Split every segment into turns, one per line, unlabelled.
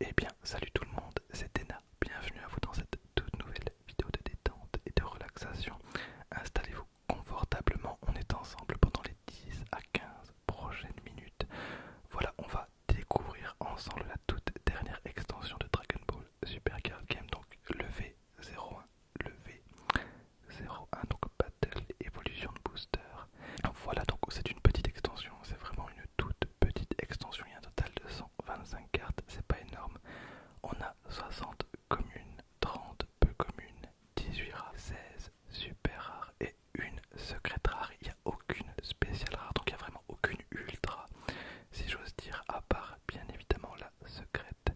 Eh bien, salut tout le monde, c'est Dena. Bienvenue à vous dans cette toute nouvelle vidéo de détente et de relaxation. Installez-vous confortablement, on est ensemble pendant les 10 à 15 prochaines minutes. Voilà, on va découvrir ensemble la toute dernière extension de Dragon Ball Super Girl Game, donc le V01, le V01, donc Battle Evolution Booster. Voilà, donc c'est une petite extension, c'est vraiment une toute petite extension. Il y a un total de 125 cartes, c'est pas énorme. On a 60 communes, 30 peu communes, 18 rares, 16 super rares et une secrète rare. Il n'y a aucune spéciale rare, donc il n'y a vraiment aucune ultra, si j'ose dire, à part bien évidemment la secrète.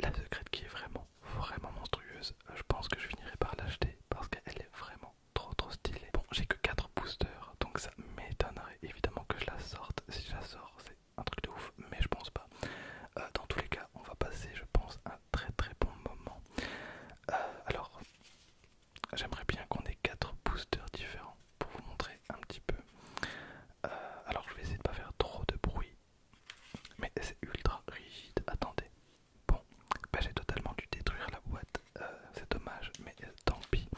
La secrète qui est vraiment, vraiment monstrueuse. Je pense que je finirai par l'acheter parce qu'elle est vraiment, trop trop stylé. Bon, j'ai que 4 boosters, donc ça m'étonnerait évidemment que je la sorte. Si je la sors, c'est un truc de ouf, mais je pense pas. Euh, dans tous les cas, on va passer, je pense, un très très bon moment. Euh, alors, j'aimerais bien qu'on ait 4 boosters différents pour vous montrer un petit peu. Euh, alors, je vais essayer de pas faire trop de bruit, mais c'est ultra rigide. Attendez, Bon, bah, j'ai totalement dû détruire la boîte, euh, c'est dommage, mais euh, tant pis.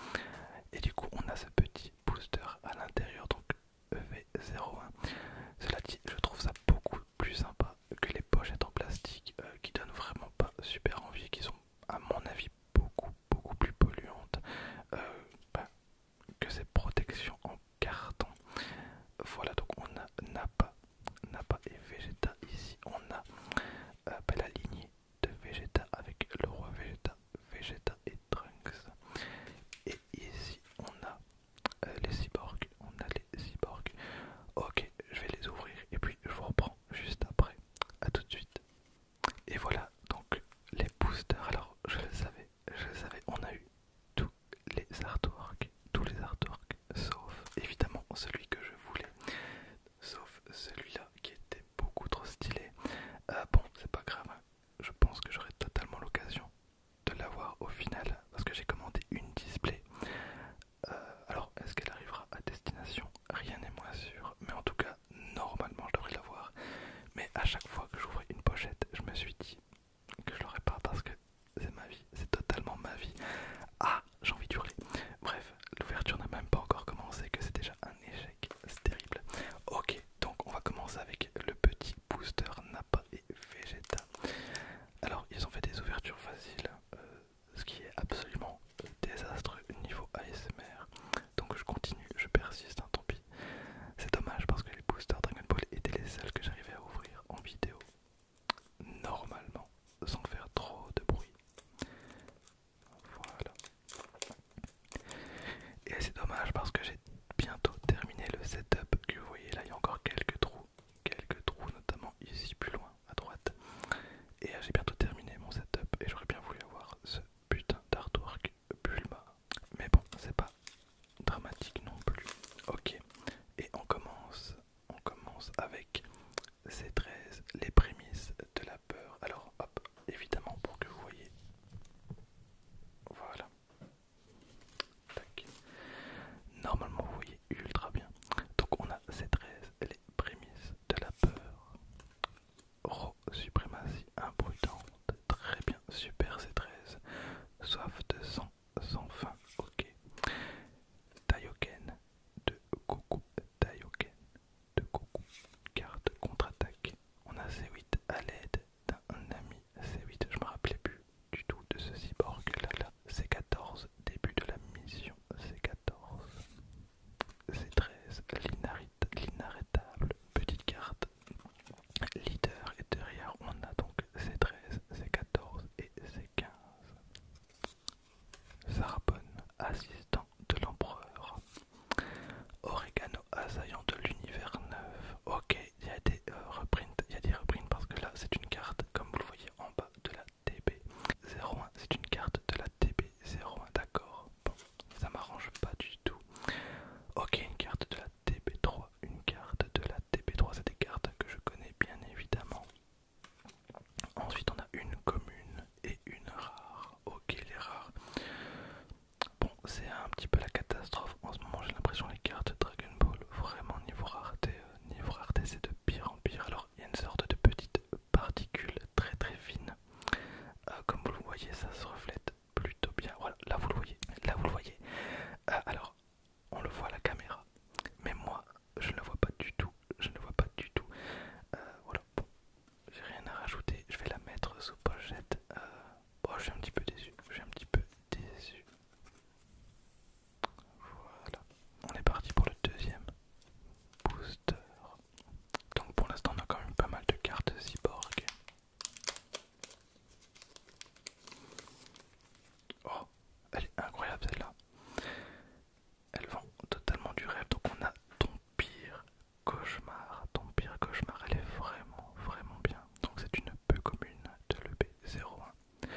Et du coup, on a ce petit booster à l'intérieur, donc e v 01 Cela dit, je trouve ça beaucoup plus sympa que les pochettes en plastique euh, qui donnent vraiment pas super envie, qui sont à mon avis beaucoup beaucoup plus polluantes ben, que ces protections en carton. Voilà, donc on n'a pas... Nappa et Vegeta. Ici, on a euh, ben, la lignée de Vegeta avec le roi Vegeta, Vegeta et Trunks. Et ici, on a euh, les cyborgs. On a les cyborgs. Ok, je vais les ouvrir et puis je vous reprends juste après. à tout de suite. Et voilà donc les boosters. Alors, je les savais, je les savais, on a eu tous les artworks, tous les artworks, sauf évidemment celui que je voulais sauf celui-là qui était beaucoup trop stylé. Euh, bon, c'est pas grave, hein. je pense que j'aurai totalement l'occasion de l'avoir au final parce que j'ai commandé une display. Euh, alors, est-ce qu'elle arrivera à destination Rien n'est moins sûr, mais en tout cas, normalement je devrais l'avoir. Mais à chaque fois que j'ouvrais une pochette, je me suis dit que je l'aurais pas parce que c'est ma vie, c'est totalement ma vie. Ah, ah, j'ai envie d'hurler. Bref, l'ouverture n'a même pas encore commencé, que c'est déjà un échec. C'est terrible. Ok, donc on va commencer avec le petit booster napa et Vegeta. Alors, ils ont fait des ouvertures faciles, euh, ce qui est absolument euh, désastreux niveau ASMR. Donc je continue, je persiste, hein, tant pis. C'est dommage parce que les boosters Dragon Ball étaient les seuls que j'arrivais à ouvrir en vidéo normalement sans faire trop de bruit. Voilà. Et c'est dommage parce que j'ai bientôt terminé le setup que vous voyez là, il y a encore quelques trous, quelques trous notamment ici plus loin à droite. Et euh, j'ai bientôt terminé mon setup et j'aurais bien voulu avoir ce putain d'artwork Bulma. Mais bon, c'est pas dramatique non plus. Ok, et on commence, on commence avec C13, les prémices de la peur. Alors, hop, évidemment, pour que vous voyez. Voilà. Normalement, vous voyez ultra bien. Donc, on a C13, les prémices de la peur. Ro, suprématie imprudente. Très bien, super C13. Soif de sang, sans fin, ok. taiyoken de Goku d'Ayoken, de Goku. Carte contre-attaque. On a C8 à l'aide d'un ami C8. Je me rappelais plus du tout de ce cyborg là là. C14, début de la mission C14. C13, l'inarrêtable. Petite carte. Leader et derrière on a donc C13, C14 et c 15. Sarbonne, assistant de l'empereur. Oregano, assaillant de l'univers neuf. Ok, il y a des euh, il y a des reprints parce que là c'est une carte, comme vous le voyez en bas de la TB. 01, c'est une carte de la TB 01, d'accord. Bon, ça m'arrange pas du tout. Ok, une carte de la TB3, une carte de la TB3, c'est des cartes que je connais bien évidemment. Ensuite, on a une commune et une rare. Ok, les rares. Bon, c'est un petit peu la catastrophe. En ce moment, j'ai l'impression les cartes Dragon Ball, vraiment niveau rareté, euh, niveau rareté, c'est de pire en pire. Alors, il y a une sorte de petite particule très très fine. Euh, comme vous le voyez, ça se reflète plutôt bien. Voilà, là vous le voyez. Là vous le voyez. Euh, alors, on le voit à la caméra. Mais moi, je ne la vois pas du tout, je ne vois pas du tout. Euh, voilà, bon, j'ai rien à rajouter, je vais la mettre sous pochette. Oh, je suis un petit peu déçu, je suis un petit peu déçu. Voilà, on est parti pour le deuxième booster. Donc pour l'instant, on a quand même pas mal de cartes cyborg. Oh, elle est incroyable celle-là elles vont totalement du rêve. Donc on a ton pire cauchemar. Ton pire cauchemar, elle est vraiment, vraiment bien. Donc c'est une peu commune de l'EB01.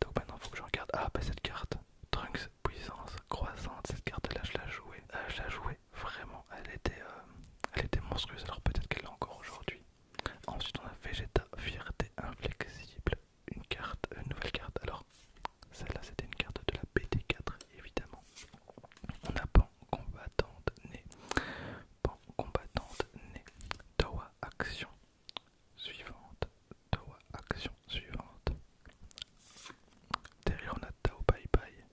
Donc maintenant, faut que je regarde. Ah, bah cette carte, Trunks puissance croissante, cette carte-là, je la jouée. Euh, je l'ai jouée vraiment. Elle était, euh, elle était monstrueuse. Alors peut-être qu'elle l'a encore aujourd'hui. Ensuite, on a Vegeta, fierté inflexible une carte, une nouvelle carte. Alors, celle-là, c'était une carte de la bt 4 évidemment. On a Pan combattante née. Pan combattante née. Toa action suivante. Toa action suivante. Derrière, on a Tao Bye Bye.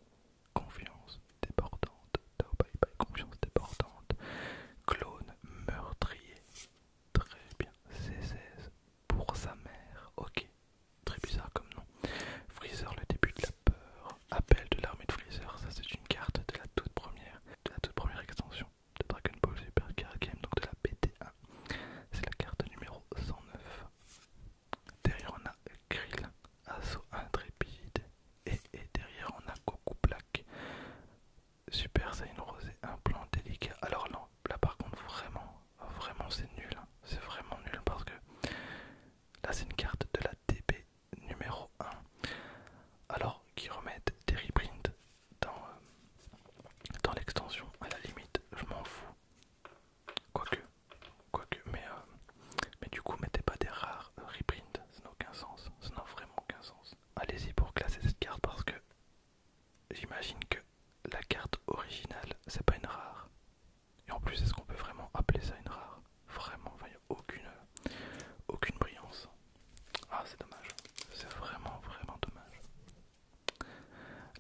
Confiance débordante. Tao Bye Bye. Confiance débordante. Clone meurtrier. Très bien. C16 pour sa mère. Ok, très bizarre comme nom. Freezer, le début de la peur. Appel de l'armée de Freezer, ça c'est une carte de la toute première, de la toute première extension de Dragon Ball Super Car Game, donc de la BT1. C'est la carte numéro 109. Derrière on a Krill, Asso intrépide. Et, et derrière on a Goku Black. Super une rosée, un plan délicat. Alors là, là par contre, vraiment, vraiment c'est nul. Hein. C'est vraiment nul parce que là c'est une carte de la DB numéro 1. Alors qui remettent des reprints dans, euh, dans l'extension, à la limite, je m'en fous. Quoique, quoique, mais, euh, mais du coup, mettez pas des rares reprints, ça n'a aucun sens, ça n'a vraiment aucun sens. Allez-y pour classer cette carte parce que J'imagine que la carte originale, c'est pas une rare. Et en plus, est-ce qu'on peut vraiment appeler ça une rare Vraiment, il n'y a aucune, aucune brillance. Ah, c'est dommage. C'est vraiment, vraiment dommage.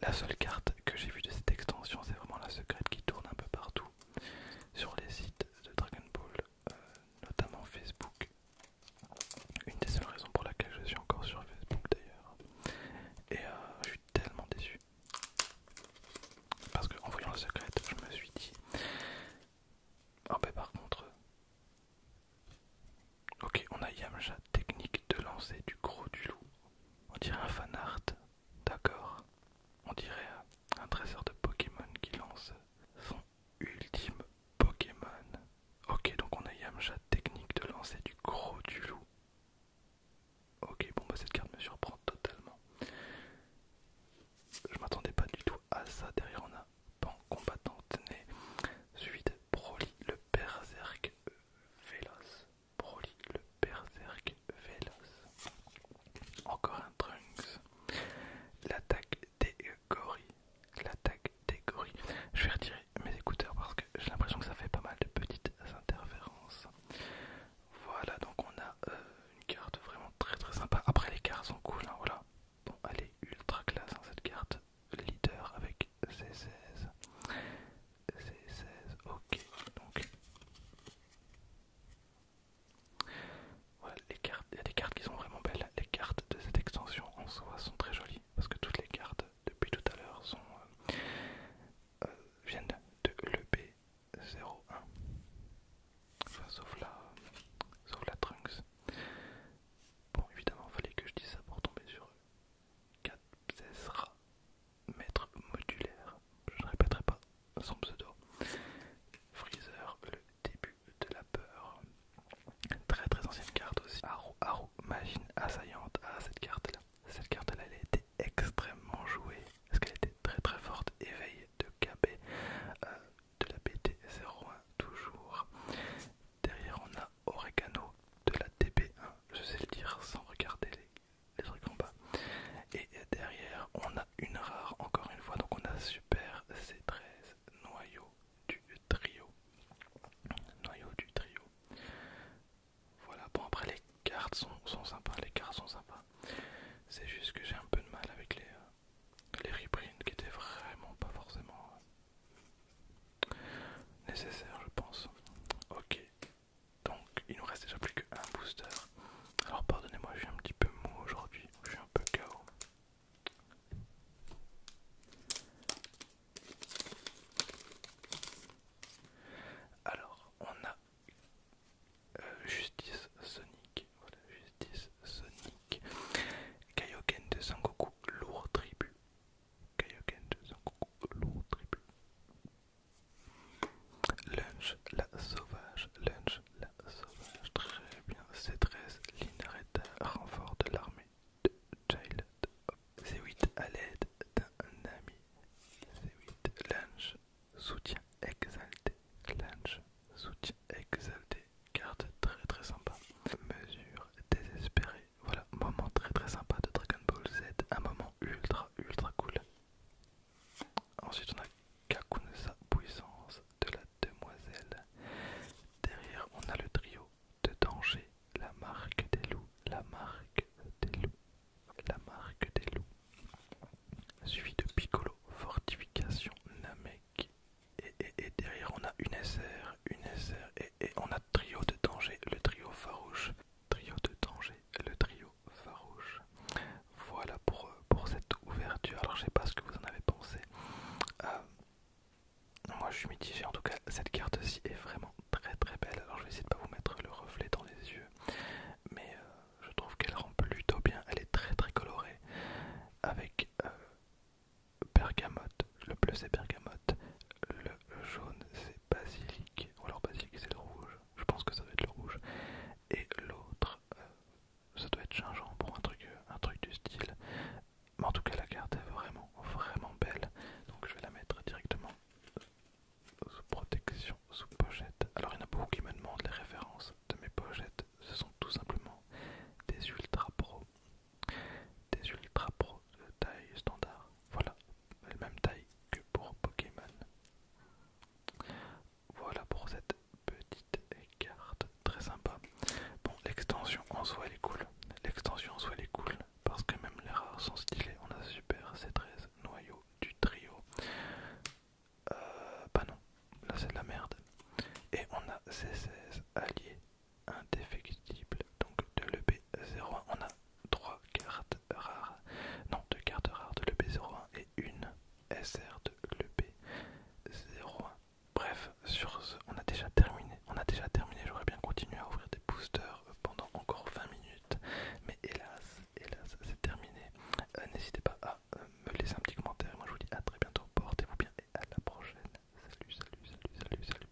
La seule carte que j'ai vue de cette extension, c'est vraiment la secrète qui tourne un peu partout sur les sites de Dragon Ball, euh, notamment Facebook une des seules raisons pour laquelle je suis encore sur Facebook d'ailleurs. Et euh, je suis tellement déçu. Parce que en voyant le secret, je me suis dit... Ah oh ben, par contre... Ok, on a Yamcha, technique de lancer du gros du loup. On dirait un fan art, d'accord. On dirait un trésor de Pokémon qui lance son ultime Pokémon. Ok, donc on a Yamcha technique de lancer du gros du loup. Ok, bon bah cette carte me surprend totalement. Je m'attendais pas du tout à ça. Derrière on a Pan combattant né. Suite Broly le berserk véloce. Broly le berserk véloce. Encore un Trunks. L'attaque des gorilles. L'attaque des gorilles. Je vais retirer mes écouteurs parce que j'ai l'impression que ça fait pas mal de petites interférences. Voilà, donc on a euh, une carte vraiment très très sympa. Après, les cartes sont cool, hein, voilà. Bon, elle est ultra classe hein, cette carte. Leader avec C16. C16, ok. voilà, les cartes. Il y a des cartes qui sont vraiment belles les cartes de cette extension en soi sont très jolies parce que toutes les cartes depuis tout à l'heure sont euh, euh, viennent de lep 01 sauf la Trunks bon évidemment fallait que je dise ça pour tomber sur 4 maître modulaire je ne répéterai pas son pseudo Freezer le début de la peur. Très très ancienne carte aussi. Haru, machine assaillante. Ah, cette carte-là. Cette carte-là, elle a été extrêmement jouée. Parce qu'elle était très très forte. Éveil de KB, euh, de la BT01 toujours. Derrière, on a Oregano de la TP1. Je sais le dire sans regarder les, les trucs en bas. Et derrière, on a une rare encore une fois. Donc on a Super C13 noyau du trio. Noyau du trio. Voilà, bon après les cartes sont, sont sympas, les cartes sont sympas. C'est juste que j'ai un peu de mal avec les, euh, les reprints qui étaient vraiment pas forcément euh, nécessaires je pense. Ok, donc il nous reste déjà plus que un booster. Alors pardonnez-moi, je suis un petit peu mou aujourd'hui, je suis un peu KO. Alors, on a euh, Justice Sonic, voilà, Justice Sonic, Kaioken de Sangoku, lourd tribu, Kaioken de Sangoku, lourd tribu, Lunch, la sauvage, Lunch, la sauvage, très bien, C13, renfort de l'armée. Child. C8 à l'aide d'un ami. C8. Lunge. Soutien exalté. Lunge. Soutien exalté. Carte très très sympa. Mesure désespérée. Voilà, moment très très sympa de Dragon Ball Z. Un moment ultra ultra cool. Ensuite on a Kakunsa puissance de la demoiselle. Derrière on a le trio de danger, la marque des loups, la marque des loups, la marque des loups. Suivi de Piccolo, fortification Namek. Et, derrière on a une SR, une SR et, on a trio de danger, le trio farouche, trio de danger, le trio farouche. Voilà pour, euh, cette ouverture. Alors je sais pas ce que vous en avez pensé. Euh, moi je suis mitigé, en tout cas cette carte-ci est vraiment très très belle. Alors je vais essayer de pas vous mettre le reflet dans les yeux, mais euh, je trouve qu'elle rend plutôt bien. Elle est très très colorée avec euh, bergamote. Le bleu c'est bergamote, le jaune c'est basilic, ou alors basilic c'est le rouge. Je pense que ça doit être le rouge. Et l'autre, euh, ça doit être gingembre pour un truc, un truc du style. Mais en tout cas, la carte est vraiment, vraiment belle. Donc je vais la mettre directement sous protection, sous pochette. Alors il y en a beaucoup qui me demandent les références de mes pochettes. Ce sont tout simplement des Ultra Pro. Des Ultra Pro de taille standard. Voilà, la même taille que pour Pokémon. Voilà pour cette petite Carte très sympa. Bon, l'extension en soi elle est cool. L'extension en soi elle est cool parce que même les rares sont stylés. On a super C13 noyau du trio. Euh, bah non, là c'est de la merde. Et on a C16 alliés indéfectible, donc de l'EB01. On a trois cartes rares, non, deux cartes rares de l'EB01 et une SR de l'EB01. Bref, sur ce, on a déjà terminé. On a déjà terminé. J'aurais bien continué à ouvrir des boosters euh, pendant encore 20 minutes, mais hélas, hélas, c'est terminé. Euh, n'hésitez pas à euh, me laisser un petit commentaire. Moi, je vous dis à très bientôt. Portez-vous bien et à la prochaine. Salut, salut, salut, salut, salut.